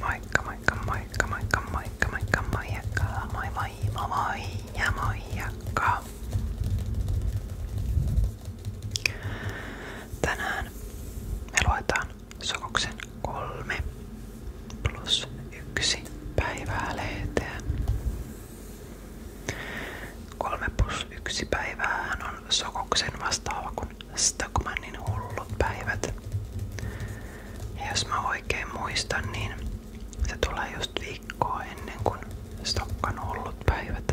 Moikka, moikka, moikka, moikka, moikka, moikka, moikka, moi moi, moi moi ja moikka. Tänään me luetaan Sokoksen kolme plus yksi päivää lehteä. Kolme plus yksi päivää on Sokoksen vastaava kuin Stockmannin hullut päivät. Ja jos mä oikein muistan, niin se tulee just viikkoa ennen kuin Stokkan hullut päivät.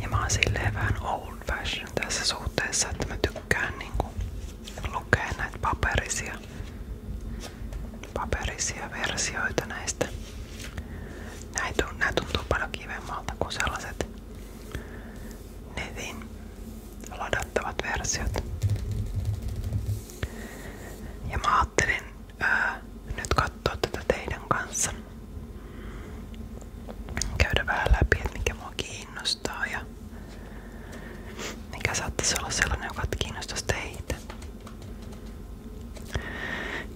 Ja mä oon silleen vähän old fashion tässä suhteessa, että mä tykkään niinku lukea näitä paperisia, paperisia versioita näistä Nämä tuntuu paljon kivemmalta kuin sellaiset netin ladattavat versiot. Ja mä ajattelin ää, nyt katsoa tätä teidän kanssa. Käydä vähän läpi, että mikä mua kiinnostaa ja mikä saattaisi olla sellainen, joka kiinnostaisi teitä.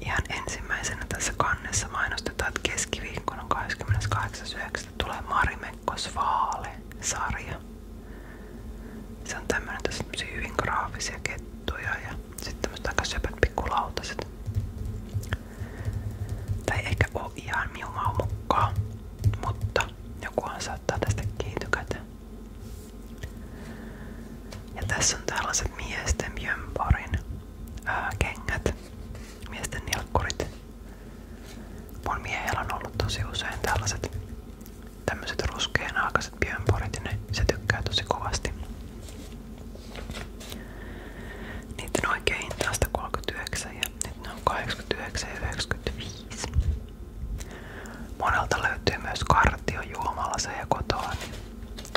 Ihan ensimmäisenä tässä kannessa mainostetaan, että keskiviikkona 28.9. tulee Marimekko Svaale-sarja. Se on tämmönen, tässä on hyvin graafisia kettuja ja sitten tämmöset aika söpöt pikkulautaset. Tai eikä oo ihan miumaa mukaan, mutta jokuhan saattaa tästä kiitykäteen. Ja tässä on tällaiset miesten jömparin ää, äh, kengät, miesten nilkkurit. Mun miehellä on ollut tosi usein tällaiset tämmöiset ruskeanaakaiset pienporit ja ne, se tykkää tosi kovasti. Niiden oikea hinta on 139 ja nyt ne on 89 ja 95. Monelta löytyy myös kartio juomalla ja kotoa, niin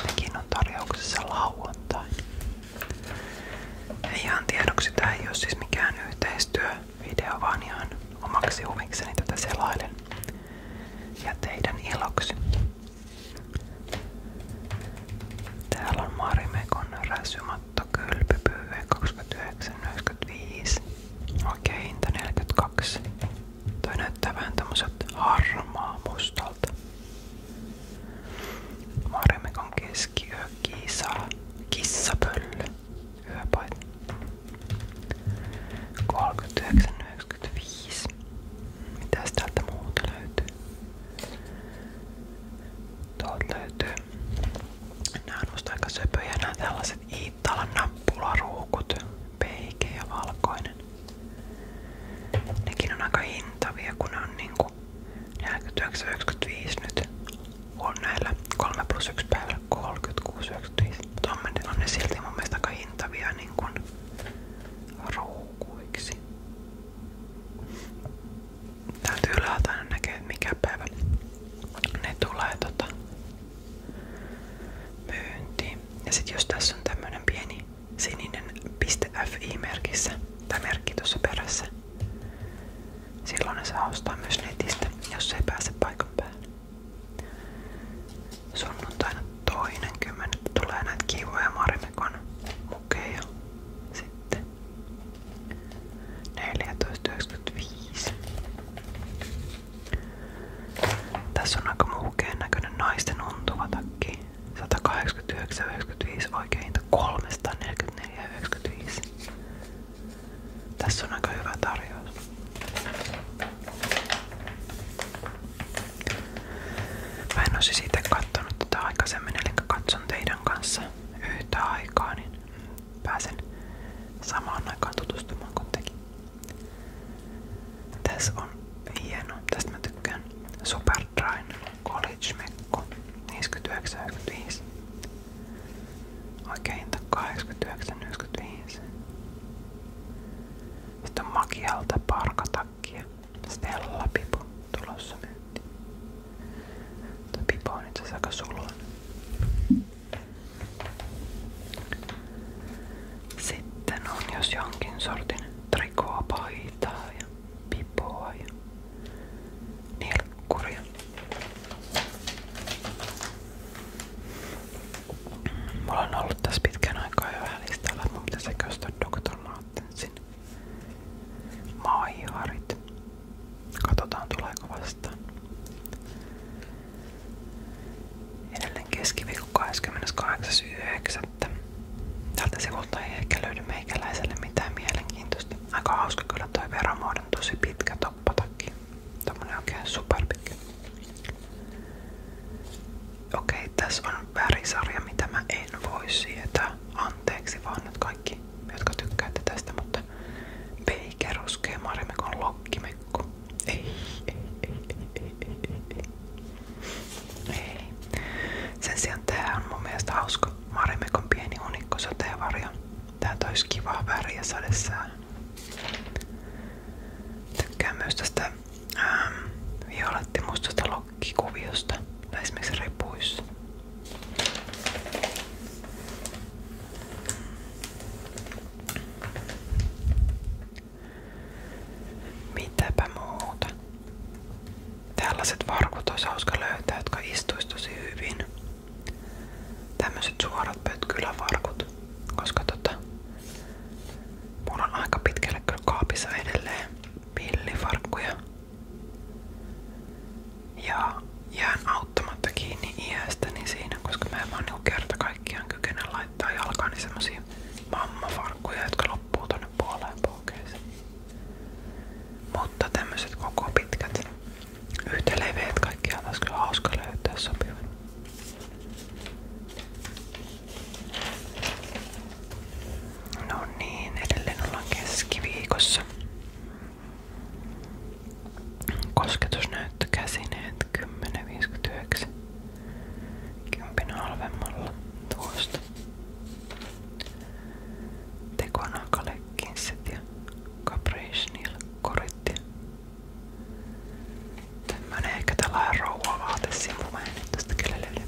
Nekin on tarjouksessa lauantai. Ei ihan tiedoksi, tää ei ole siis mikään yhteistyövideo, vaan ihan omaksi huvikseni tätä selailen ja teidän iloksi. Täällä on Marimekon räsymatto kylpypyy 29,95. Oikein hinta 42. Toi näyttää vähän tämmöset harmaa mustalta. Marimekon keskiyö, kisa, kissapöllö, yöpaita. 39,95. Mitäs täältä muuta löytyy? Tuolta löytyy. Nää on musta aika söpöjä nää tällaiset Iittalan nappularuukut. Peike ja valkoinen. Nekin on aika hintavia, kun on niinku 49,95 nyt on näillä 3 plus 1 päivällä 36,95. Mutta on, on ne silti mun mielestä aika hintavia niin kuin ruukuiksi. Täytyy ylhäältä näkee, mikä päivä ne tulee tota myyntiin. Ja sit jos tässä on tämmönen pieni sininen .fi-merkissä tai merkki tuossa perässä. Silloin ne saa ostaa myös netistä, jos ei pääse paikan päälle. Sunnuntaina toinen kymmenettä tulee näitä kivoja marimekon mukeja sitten. 14.95. Tässä on aika muukeen näköinen naisten untuva takki. 189,95 oikein hinta 344,95. Tässä on aika hyvä tarjous. Mä en olisi siitä kattonut tätä aikaisemmin, eli katson teidän kanssa yhtä aikaa, niin pääsen samaan aikaan tutustumaan kun tekin. Tässä on hieno, tästä mä tykkään. Superdryn College Mekko 59,95. Oikeinta 89,95. Sitten on Makialta parkatakkia. Stella Pipo tulossa myyntiin. Tämä Pipo on itse asiassa aika sulun. Sitten on jos jonkin sortin trikoopaita ja ja pipoa ja ollut tässä pitkän aikaa jo vähän listalla, että maiharit. Katsotaan tuleeko vastaan. Edelleen keskiviikko 28.9. Tältä sivulta ei ehkä löydy meikäläiselle mitään mielenkiintoista. Aika hauska kyllä toi veromuodon tosi pitkä toppatakki. Tommonen oikein superpitkä. Okei, tässä on värisarja, mitä mä en voi sietää. Anteeksi vaan nyt kaikki, jotka tykkäätte tästä, mutta Baker ruskea marimekon lokkimekko. Ei, ei, ei, ei, ei, ei, ei. Ei. Sen sijaan tää on mun mielestä hauska. Marimekon pieni unikko sateenvarjo. Tää toisi kivaa väriä sadessään. Tykkään myös tästä ähm, violettimustasta lokkikuviosta. Tai esimerkiksi ripuissa. Mitäpä muuta. Tällaiset varkut olisi hauska löytää, jotka istuisi tosi hyvin. Tämmöiset koska tota, on aika pitkälle kyllä kaapissa edelleen Ja jään auttamatta kiinni iästäni siinä, koska mä en vaan niinku kaikkiaan kykene laittaa jalkaani semmosia mammafarkkuja, jotka loppuu tonne puoleen puoleen ohkeisiin. Mutta tämmöiset koko pitkät, yhtä leveät kaikkiaan olisi kyllä hauska löytää sopivan. No niin, edelleen ollaan keskiviikossa. Kosketusnäyttö käsineet 10.59. Kympin halvemmalla tuosta. Tekonakale, Kinset ja Caprichnil koritti. Tämmönen ehkä tällainen rouva-vaatesivu, mä en nyt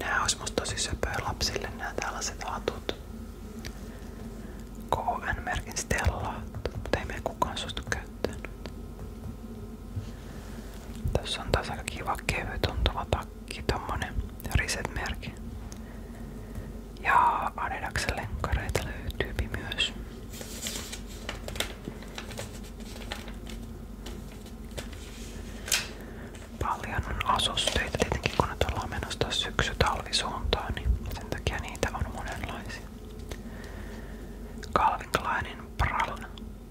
Nää ois musta tosi söpöä hatut. KN-merkin stellaat, mutta kukaan suostu käyttänyt. Tässä on taas takki, tommonen Reset-merki. Ja Adidaksen lenkkareita löytyy myös. Paljon on asusteita tietenkin, kun nyt ollaan syksy-talvisuuntaan, niin sen niitä on monenlaisia. Calvin Kleinin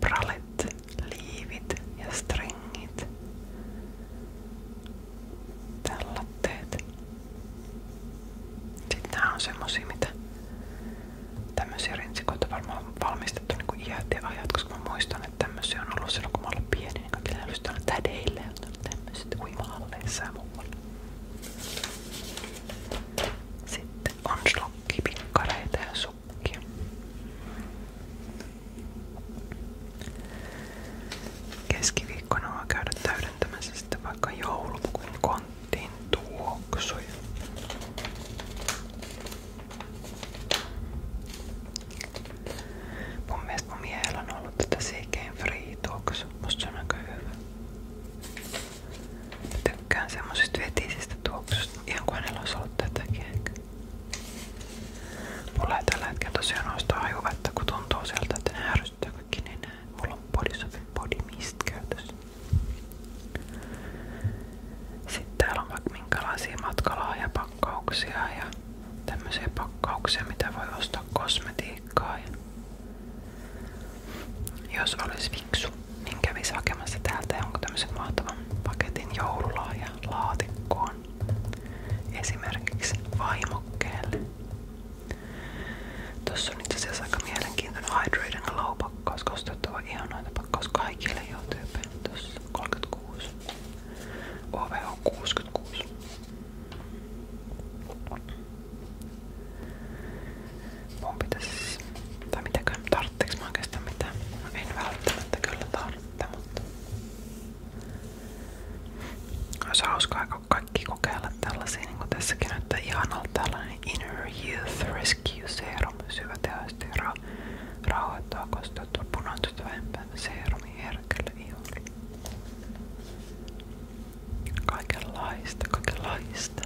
Prallet liivit ja stringit. Tällotteet. Sitten nämä on semmosia, mitä tämmöisiä rintsikoita varmaan on valmistettu niinku iät ja ajat, koska mä muistan, että tämmöisiä on ollut silloin kun mä olin pieni, niin kaikilla oli aina tädeillä ja tämmöiset uimahalleissa ja muualla. Sitten on slokkipikkareita ja sukki. Keskiviikkona vaan käydä täydentämässä sitten vaikka joulupukin konttiin tuoksuja. Mun mielestä mun miehellä on ollut tätä CK Free tuoksu. Musta se on aika hyvä. Tykkään semmosesta vetisistä tuoksusta. Ihan kuin hänellä olisi ollut tätäkin ehkä. tosiaan ole sitä hajuvetta, kun tuntuu sieltä, että ne ärsyttää kaikki nenää. Mulla on Sitten täällä on vaikka minkälaisia ja tämmöisiä pakkauksia, mitä voi ostaa kosmetiikkaa. Ja jos olisi fiksu, minkä niin kävisi hakemassa täältä jonkun tämmöisen mahtavan paketin joululaajalaatikkoon. Esimerkiksi vaimokkeelle. Tuossa on itse asiassa aika mielenkiintoinen Hydrate Glow pakkaus, koska on ihanoita pakkaus kaikille jo tyypeille. Tuossa 36. OV on 66 mun pitäis... Tai mitäköhän, tarvitseeko mä oikeastaan mitään? No en välttämättä kyllä tarvitse, mutta... Olisi hauskaa kaikki kokeilla tällaisia, niin kuin tässäkin näyttää ihanalta tällainen Inner Youth Rescue Serum, syvä tehoista ja ra rauhoittaa kosteutta punantusta vähempään seerumi herkälle iholle. Kaikenlaista, kaikenlaista.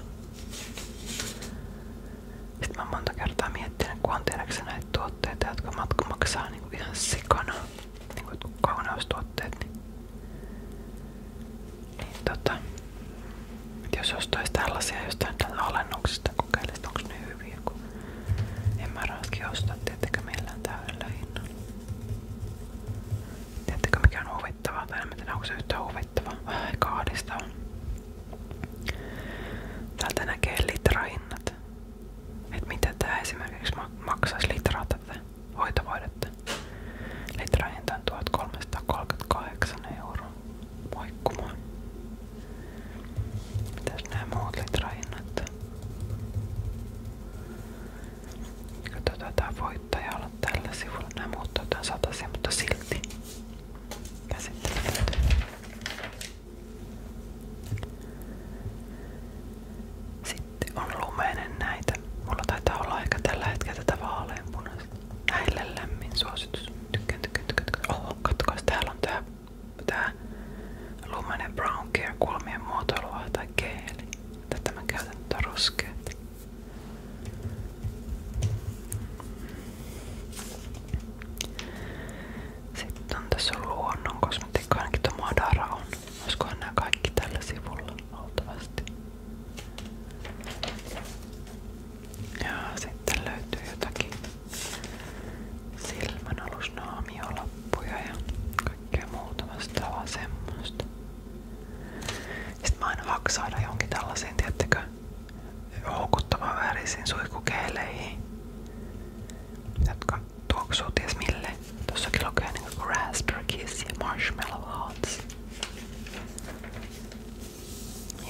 Sitten mä oon monta kertaa miettinyt, kun on tiedäksä näitä tuotteita, jotka matka maksaa niinku ihan sikana. Niinku kauneustuotteet. Niin, niin tota, jos ostaisi tällaisia jostain tällä alennuksesta, kokeilisi onko ne hyviä, kun en mä raski ostaa tietenkään millään täydellä hinnalla. Tiedättekö mikä on huvittavaa, tai en mä tiedä onko se yhtään huvittavaa, vähän kahdistavaa. Täältä näkee litrahinnat. Että mitä tää esimerkiksi maksaisi litraa tätä hoitovoidetta. Litrahinta on 1338 euroa. Moikkumaan. Mitäs nämä muut litrahinnat? Katsotaan tää voittaja olla tällä sivulla. Nämä muut on satasia, mutta silti käsittelyt. Sitten on lumeinen näitä. Mulla taitaa olla ehkä tällä hetkellä tätä vaaleanpunaista. Näille lämmin suositus. Tykkään, tykkään, tykkään. tykkään. Oho, kattokas, täällä on tää, tää lumeinen brown care kulmien muotoilua tai geeli. Tätä mä käytän tätä ruskeata. Sitten on tässä luonnon kosmetiikka, ainakin tuo Madara on. Olisikohan nämä kaikki tällä sivulla luultavasti. Ja sitten löytyy jotakin silmänalusnaamiolappuja ja kaikkea muuta vastaavaa semmoista. Sitten mä aina haksailla johonkin tällaiseen, tiettäkö, houkuttavan värisiin suihkukeileihin, jotka tuoksuu mille. Tossakin lukee niinku Raspberry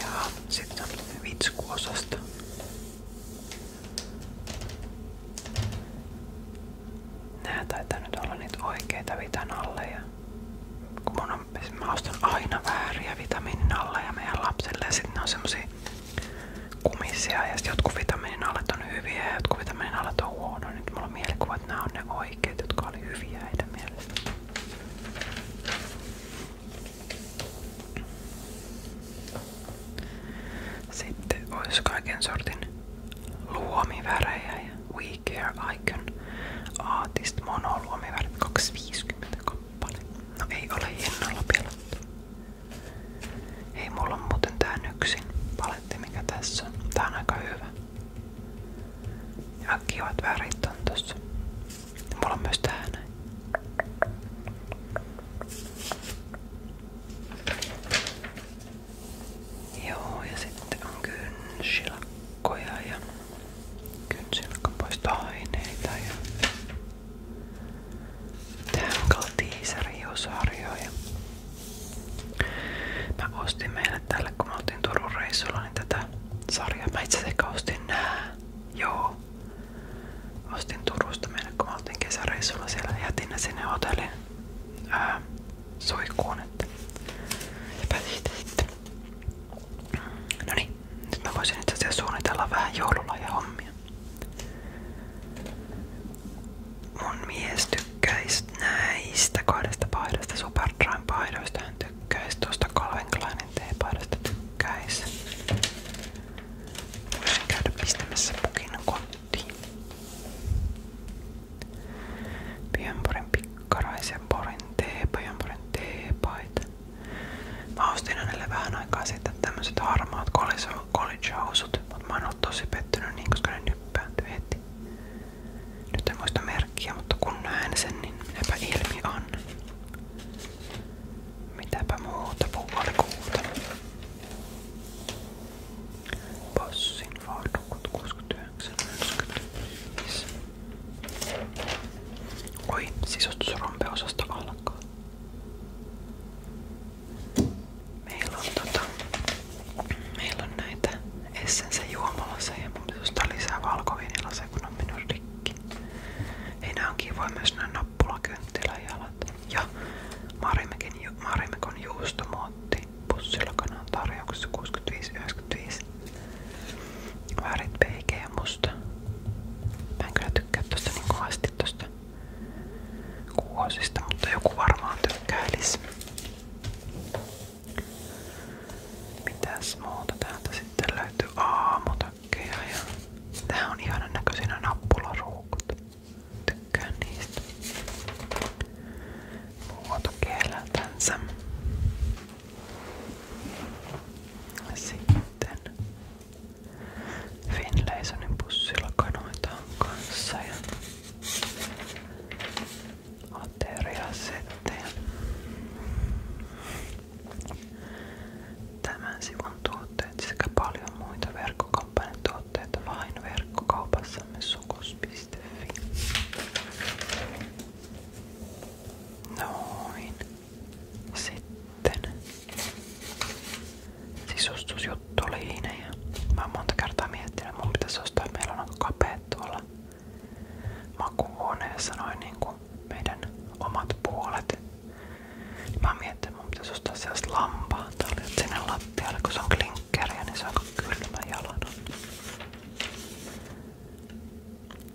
ja sitten on vitskuosasto. Nää taitaa nyt olla niitä oikeita vitan alle ja kun mun on mä ostan aina vääriä vitamiininalleja meidän lapsille ja sitten ne on kumisia ja sit jotkut vitamiininallet on hyviä ja jotkut vitamiininallet Nyt mulla on mielikuva, ne oikeat, jotka oli hyviä heidän Sitten olisi kaiken sortin ja We Care Artist Mono luomivärit 250 kappale. No ei ole hinnalla pelattu. Ei mulla on muuten tää yksin paletti mikä tässä on. Tää on aika hyvä. Ja kivat värit on tossa. Ja mulla on myös tää näin. Joo, ja sitten on kynsilakkoja ja kynsilkan poistoaineita ja tähän kaltiisariosarjoja. Mä ostin meille tälle, kun me oltiin Turun reissulla, niin tätä sarjaa. Mä itse asiassa Joo. Ostin Turusta meille, kun kesäreissulla siellä. Jätin ne sinne hotellin ää, suikuun. Että. sitten. No niin, nyt mä voisin itse asiassa suunnitella vähän joululahjahommia. Mun mies näistä kahdesta paidasta, Superdryn paidoista hän tykkäisi, tuosta Calvin Kleinin T-paidasta tykkäisi. Voisin käydä pistämässä pukin kotiin. Pienporin pikkaraisen porin T, Pienporin T-paita. Mä ostin hänelle vähän aikaa sitten tämmöiset harmaat college-housut, mutta mä oon ollut tosi pettynyt niin, koska ne nyppääntyi heti. Nyt en muista merkkiä, mutta kun näen sen, niin epä ilmi on. Mitäpä muuta puolikuuta. Bossin Ford 69, Oi, sisustusrompeosasto alkaa. Meillä on tota, meillä on näitä Essence juomalaseja ja mun sisustaa lisää valkoviinilaseja kun on mennyt rikki. Ei nää on kivoja myös nää nappulakynttiläjalat. Ja Marimekon juustomuotti pussilla kanan tarjouksessa 65,90 25. Vaarit PG ja musta. Mä en kyllä tykkää tosta niin kovasti tosta kuosista, mutta joku varmaan tykkäilis. Mitäs muuta täältä sitten löytyy? Aamutakkeja ja... Tää on ihanan näköisinä nappularuukut. Tykkään niistä. Muotokieleltänsä. Sitten Finlaysonin pussilla kanoitaan kanssa ja ateria sitten. Tämän sivun tuotteet sekä paljon muita verkkokampanjan tuotteita vain verkkokaupassamme sukos.fi. Noin sitten sisustusjuttu oli siinä ja mä oon monta kertaa miettinyt, että mun pitäisi ostaa, että meillä on aika kapeet tuolla makuuhuoneessa noin niinku meidän omat puolet. Niin mä oon miettinyt, että mun pitäisi ostaa sellaista lampaata sinne lattialle, kun se on klinkkeriä, niin se on aika kylmä jalan.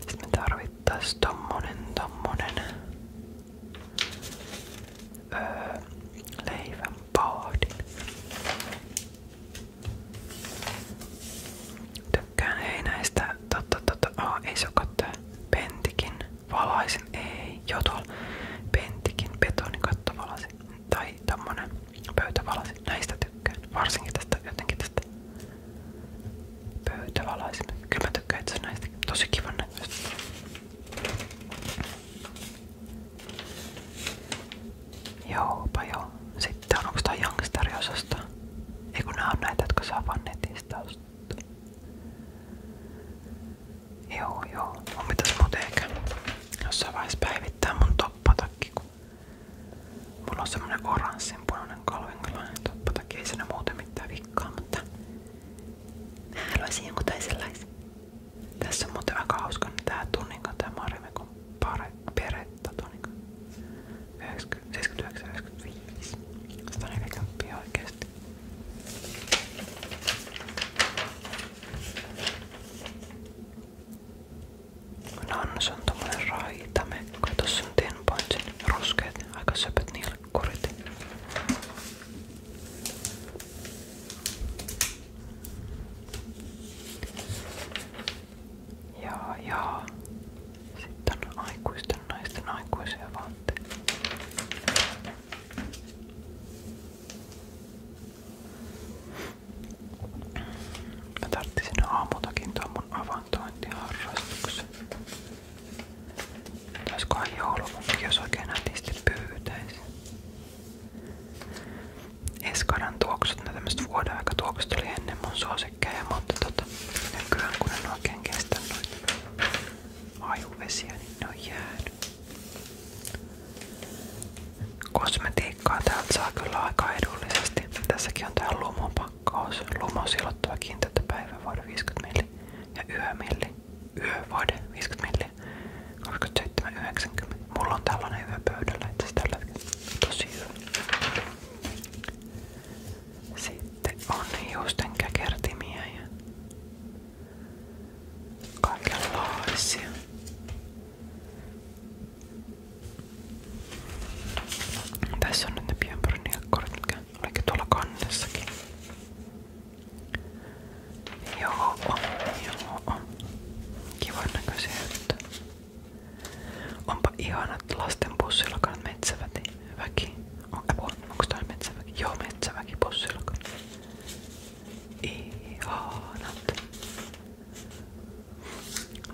Sitten me tarvittais tommonen, tommonen öö, leivän pahdin. Tykkään ei näistä, totta totta, oh, ei se tää pentikin, valaisin, ei, joo tuolla pentikin, betonikatto valasi tai tommonen pöytävalasi, näistä tykkään, varsinkin tästä jotenkin tästä pöytävalaisin. Kyllä mä tykkään itse näistä. Tosi kivan näköistä. Joopa joo. Sitten on onko tää Youngster-osasta? Ei kun nää on näitä, jotka saa vaan netistä ostaa. Joo joo. Mun pitäis muuten eikä jossain vaiheessa päivittää mun toppatakki, kun Mulla on semmonen oranssinpunainen Calvin Klein toppa, takia ei muuten mitään vikkaa, mutta mä haluaisin jonkun toisenlaisen. Tässä on muuten aika hauska niin tää tunninko, tää Marimekon peretta tunninko. 79,95. 140 oikeesti. Nannes on tommonen raitamekko. Tossa on 10 pointsin Ruskeet, aika söpöt niillä korit. Jaa, jaa. Sitten on aikuisten naisten aikuisia vaatteita. Mä tarttisin aamultakin tuon mun avaimen tupakantointiharrastuksen. Olisikohan joulumukki, jos oikein nätisti pyytäisi. Eskaran tuoksut, ne tämmöset vuoden aika tuoksut ennen mun suosikkeja, mutta tota, nykyään noita ajuvesiä, niin ne on jäänyt. Kosmetiikkaa täältä saa kyllä aika edullisesti. Tässäkin on tää lumopa Pakkaus, lumo silottava kiinteätä päivävoide 50 milli ja yömilli, yövoide 50 milli, 27,90. Mulla on tällainen yö pöydällä itse tällä hetkellä. Tosi hyvä. Sitten on hiusten käkertimiä ja kaikenlaisia. Tässä on nyt ne pienpörniakkorit, mitkä olikin tuolla kannessakin. Joo, joo. Kivan näköisiä juttuja. Onpa ihanat lasten bussillakaan metsäväki. Väki. On, apua, onko tää metsäväki? Joo, metsäväki bussillakaan. Ihanat.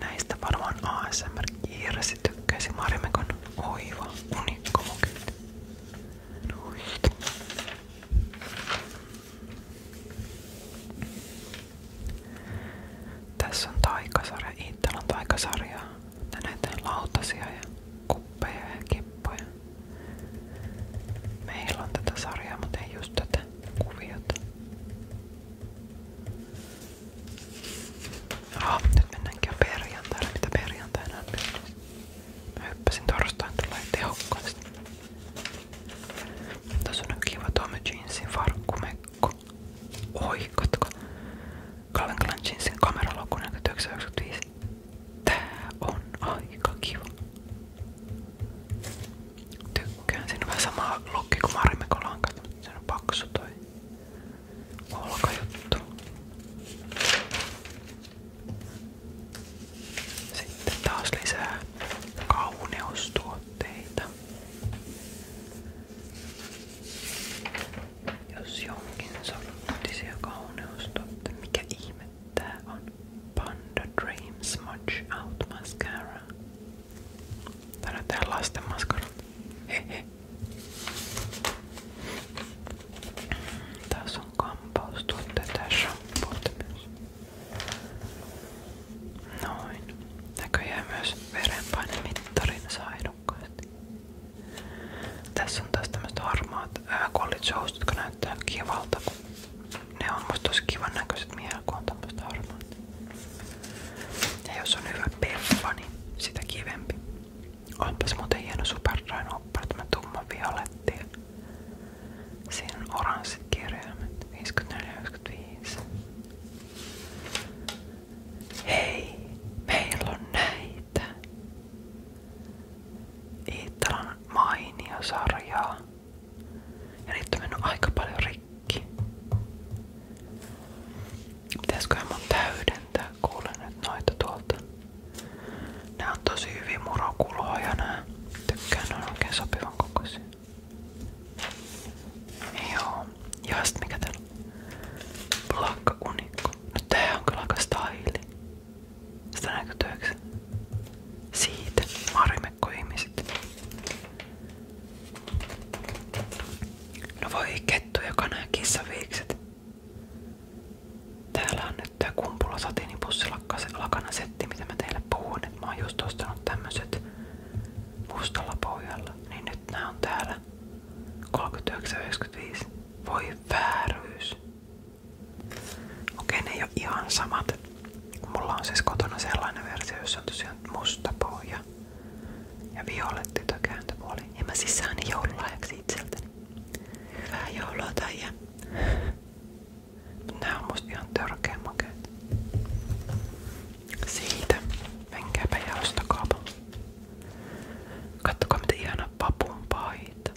Näistä varmaan ASMR Kiirasi tykkäisi Marimekon oiva unikkomukyt. Noin. Tässä on taikasarja. Itsellä on taikasarja. Tänne eteen lautasia ja kuppeja ja kippoja. Meillä on tätä sarjaa, mutta ei just tätä kuviota. Jaha, nyt mennäänkin jo perjantaina, mitä perjantaina on mennyt. Mä hyppäsin torstain tulee tehokkaasti. Tässä on kiva Tommy Jeansin farkkumekko. Oi, katsokaa. Calvin Klein Jeansin kameraloku 1995. Tää on aika kiva. Tykkään. Siinä on vähän sama lokki kuin Marimekolanka. Se on paksu toi olkajuttu. Sitten taas lisää kauneustuotteita. Jos jonkin sorttisia kauneustuotteita. Mikä ihme tää on? Panda Dream Smudge Out Mascara. Tänään tehdään lasten maskarat. Hehe. Tässä on kampaustuotteita ja shampoota myös. Noin. Näköjään myös verenpainemittarin saa edukkaasti. Tässä on taas tämmöiset harmaat college housut, jotka näyttää kivalta. Ne on musta tosi kivan näköiset miehellä, kun on tämmöiset harmaat. Ja jos on hyvä peffa, niin sitä kivempi. Onpas muuten hieno Superdryn tumma violetti. Siinä on oranssit kirjaimet, 54-95. Hei, meillä on näitä. Iittalan mainio sarjaa. Ja niitä on mennyt aika paljon rikki kaikki. Pitäisköhän mun täydentää kuulen nyt noita tuolta. Nää on tosi hyviä murokuloja nää. Tykkään ne on oikein sopivan kokoisia. Joo. Ja sit mikä täällä on? Plakka unikko. No tää on kyllä aika staili. Sitä näkyy työksä. Siitä. Marimekko ihmiset. No voi kettu ja kana ja Täällä nyt tää kumpula lakana setti, mitä mä teille puhun. Et mä oon just mustalla pohjalla. Niin nyt nämä on täällä. 39,95. Voi vääryys. Okei, ne ei ihan samat. Mulla on siis kotona sellainen versio, jossa on tosiaan musta pohja. Ja Violetti tökääntöpuoli. Ja mä siis sain joululahjaksi itseltäni. Hyvää joulua, Taija. Mut nää on musta Siitä. Menkääpä ja ostakaapa. Kattokaa mitä ihana papun paita.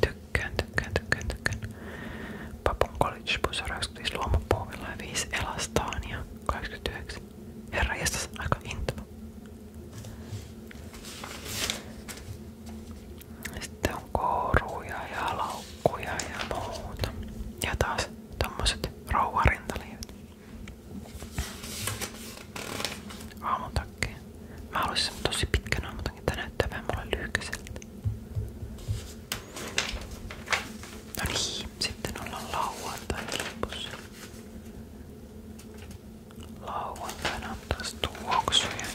Tykkään, tykkään, tykkään, tykkään. Papun college bus on 25 luomapuovilla ja anteeksi. Herra jestas, aika intimo. Sitten on koruja ja laukkuja ja muuta. Ja taas tommoset rouvarintaliivit. Aamutakki. Mä haluaisin tosi pitkän aamutakin, tää näyttää vähän mulle lyhkäiseltä. No niin, sitten ollaan lauantai kilpussa. Lauantaina on taas tuoksuja.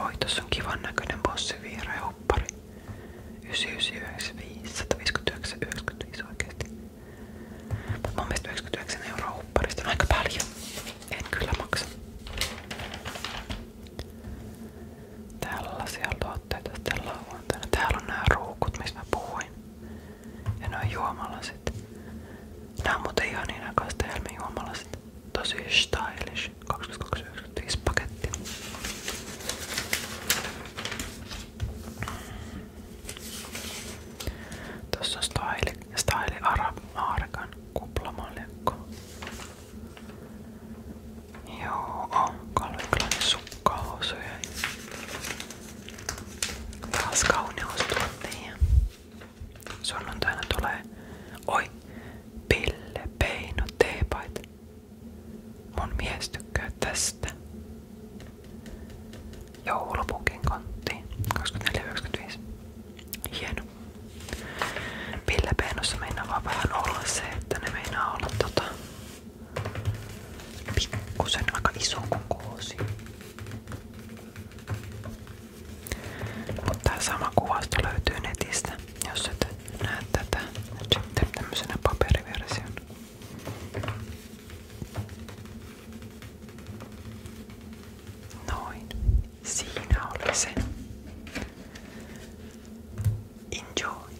Oi, tässä on kivan bossi vihreä huppari. 9995, 159, 95 oikeesti. Mut mun mielestä 99 euroa hupparista on paljon. En kyllä maksa. Tällaisia vaatteita sitten lauantaina. Täällä on nämä ruukut, mistä mä puhuin. Ja ne on juomalasit. Nämä on muuten ihan niin kastelmi juomalasit. Tosi stylish. 22,95 paketti. Tuossa on Style, style Arab Markan kuplamaljakko. Joo, on Calvin Kleinin sukkahousuja. Taas kauneustuottajia. Sunnuntaina tulee... Oi! Pille Peino teepaita. Mun mies tykkää tästä. Joulupukin konttiin. 24,95. Hieno. Pille Peinossa meinaa vaan vähän olla se, että ne meinaa olla tota pikkusen aika iso koosi. Mutta tää sama kuvasto löytyy netistä, jos et näe tätä nyt sitten tämmöisenä paperiversiona. Noin. Siinä oli se. Enjoy!